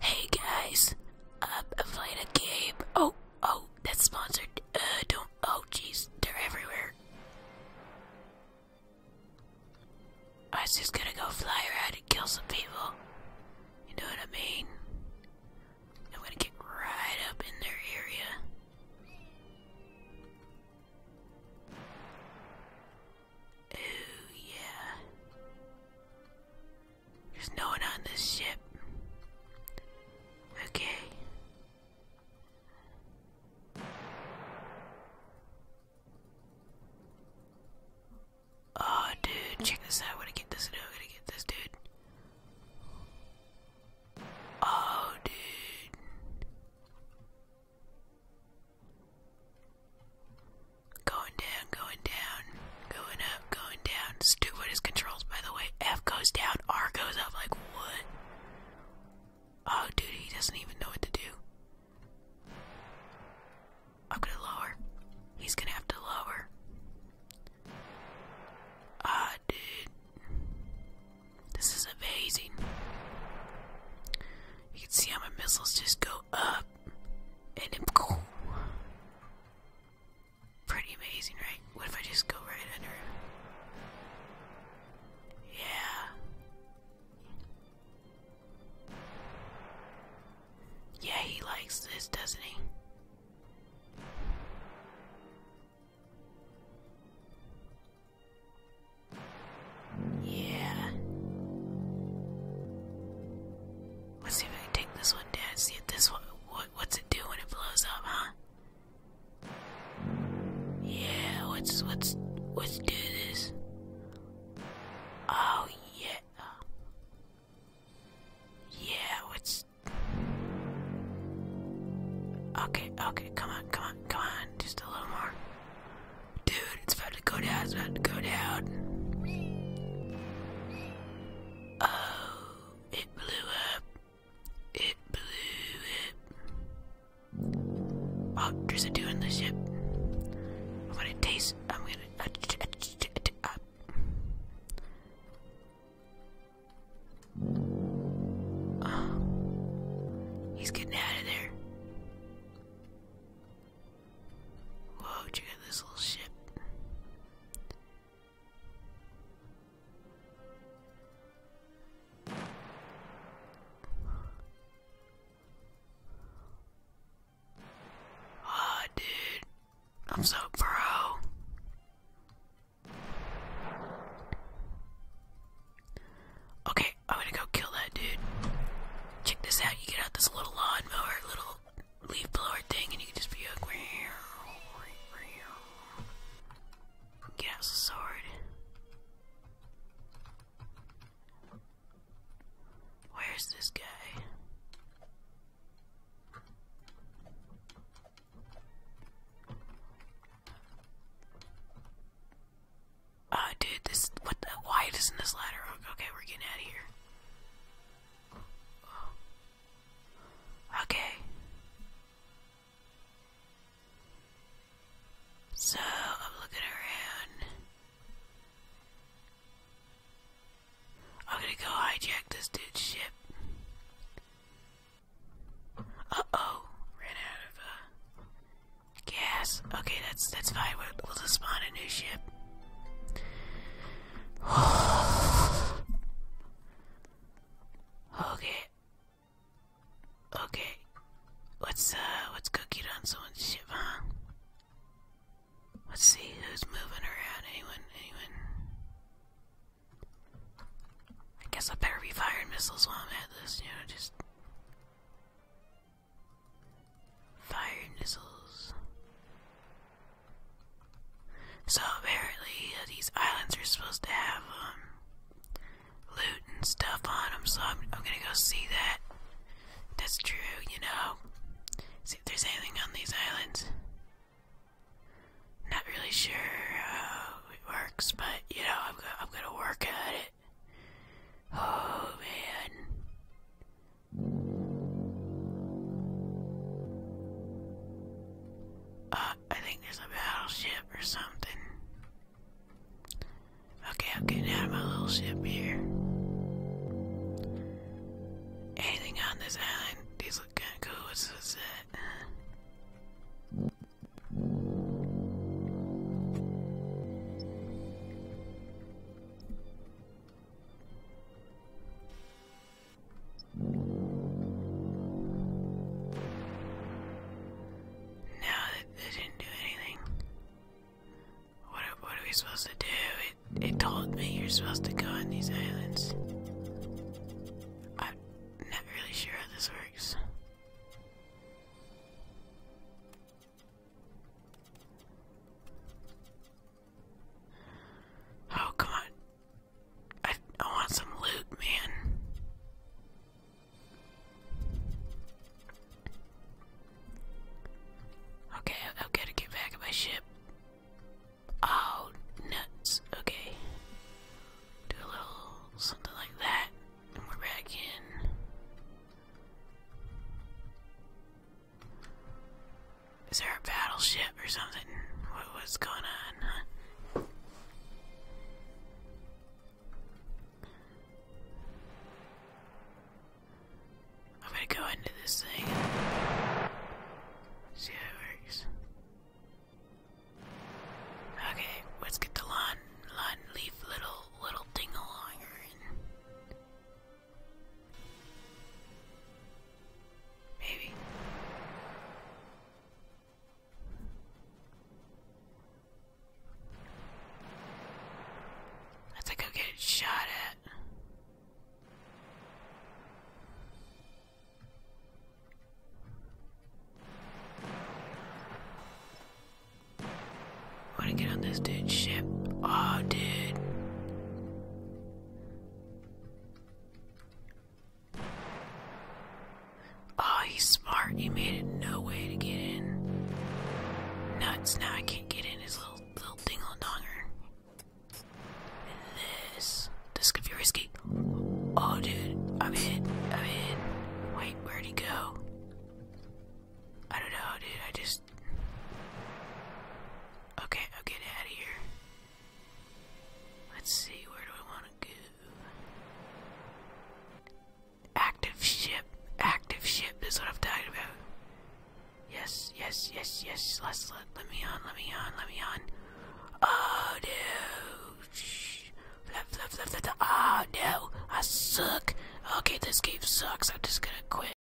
Hey guys, I'm um, playing a game. Oh, oh, that's sponsored. Uh, don't. Oh, jeez, they're everywhere. I was just gonna go fly around and kill some people. You know what I mean? I'm gonna get right up in their area. Oh yeah. There's no one on this ship. Okay. Oh, dude, check this out. I want to get this, and I'm gonna get this, dude. Oh, dude. Going down, going down, going up, going down. Stupidest controls, by the way. F goes down, R goes up. Like, what? Oh, dude, he doesn't even know what to do. I'm gonna lower. He's gonna have to lower. Ah, dude. This is amazing. You can see how my missiles just go up and it boom. Pretty amazing, right? What if I just go right under it? Yeah. Yeah, he likes this, doesn't he? Yeah. Let's see if I can take this one down. See if this one. What, what's it do when it blows up, huh? Yeah. What's what's what's do this? Oh yeah. Yeah. What's Okay, okay, come on, come on, come on, just a little more. Dude, it's about to go down. It's about to go down. Oh, it blew up. It blew up. Oh, there's a dude the ship. I'm gonna taste. I'm gonna. Uh, uh. he's getting out of there. Whoa, you get this little ship? Ah, dude, I'm so pro. Okay, I'm gonna go kill that dude. Check this out. You get out this little lawnmower, little leaf blower thing and you can just be like get out the sword. Where's this guy? Uh, dude, this, what why doesn't this ladder, okay, we're getting out of here. Okay. So I'm looking around. I'm gonna go hijack this dude's ship. Uh oh, ran out of uh, gas. Okay, that's that's fine. We'll, we'll just spawn a new ship. okay. Okay. let uh let's on someone's Let's see who's moving around. Anyone anyone I guess I better be firing missiles while I'm at this, you know, just fire missiles. So apparently uh, these islands are supposed to have um, loot and stuff on them. So I'm, gonna go see that. That's true, you know. See if there's anything on these islands. Not really sure how it works, but you know I'm gonna work at it. Oh man, uh, I think there's a battleship or something. Okay, I'm getting out of my little ship here. Anything on this island? These look kinda cool. What's, that? Now that they didn't do anything, what are, what are we supposed to do? It, it told me you're supposed to go on these islands. I'm not really sure how this works. Oh, come on. I, I want some loot, man. Okay, I, I've got to get back in my ship. Oh, nuts. Okay. Do a little something like that, and we're back in. Is there a battleship or something? What, what's going on? I'm gonna go into this thing. See how it works. Okay, let's get the lawn lawn leaf little little ding along in. Maybe. Let's go get shot at. I wanna get on this dude's ship. Oh, dude. Oh, he's smart. He made it no way to get in. Nuts, now I can't get in his little, little dingle-donger. And this. This could be risky. Oh, dude. I'm in. I'm in. Wait, where'd he go? I don't know, dude. I just just. Okay, I'll get out of here. Let's see, where do I want to go? Active ship. Active ship. This is what I'm talking about. Yes, yes, yes, yes. Let's let, let me on, let me on, let me on. Oh no. Shh. Flip, flip, flip, flip, flip. Oh no. I suck. Okay, this game sucks. I'm just gonna quit.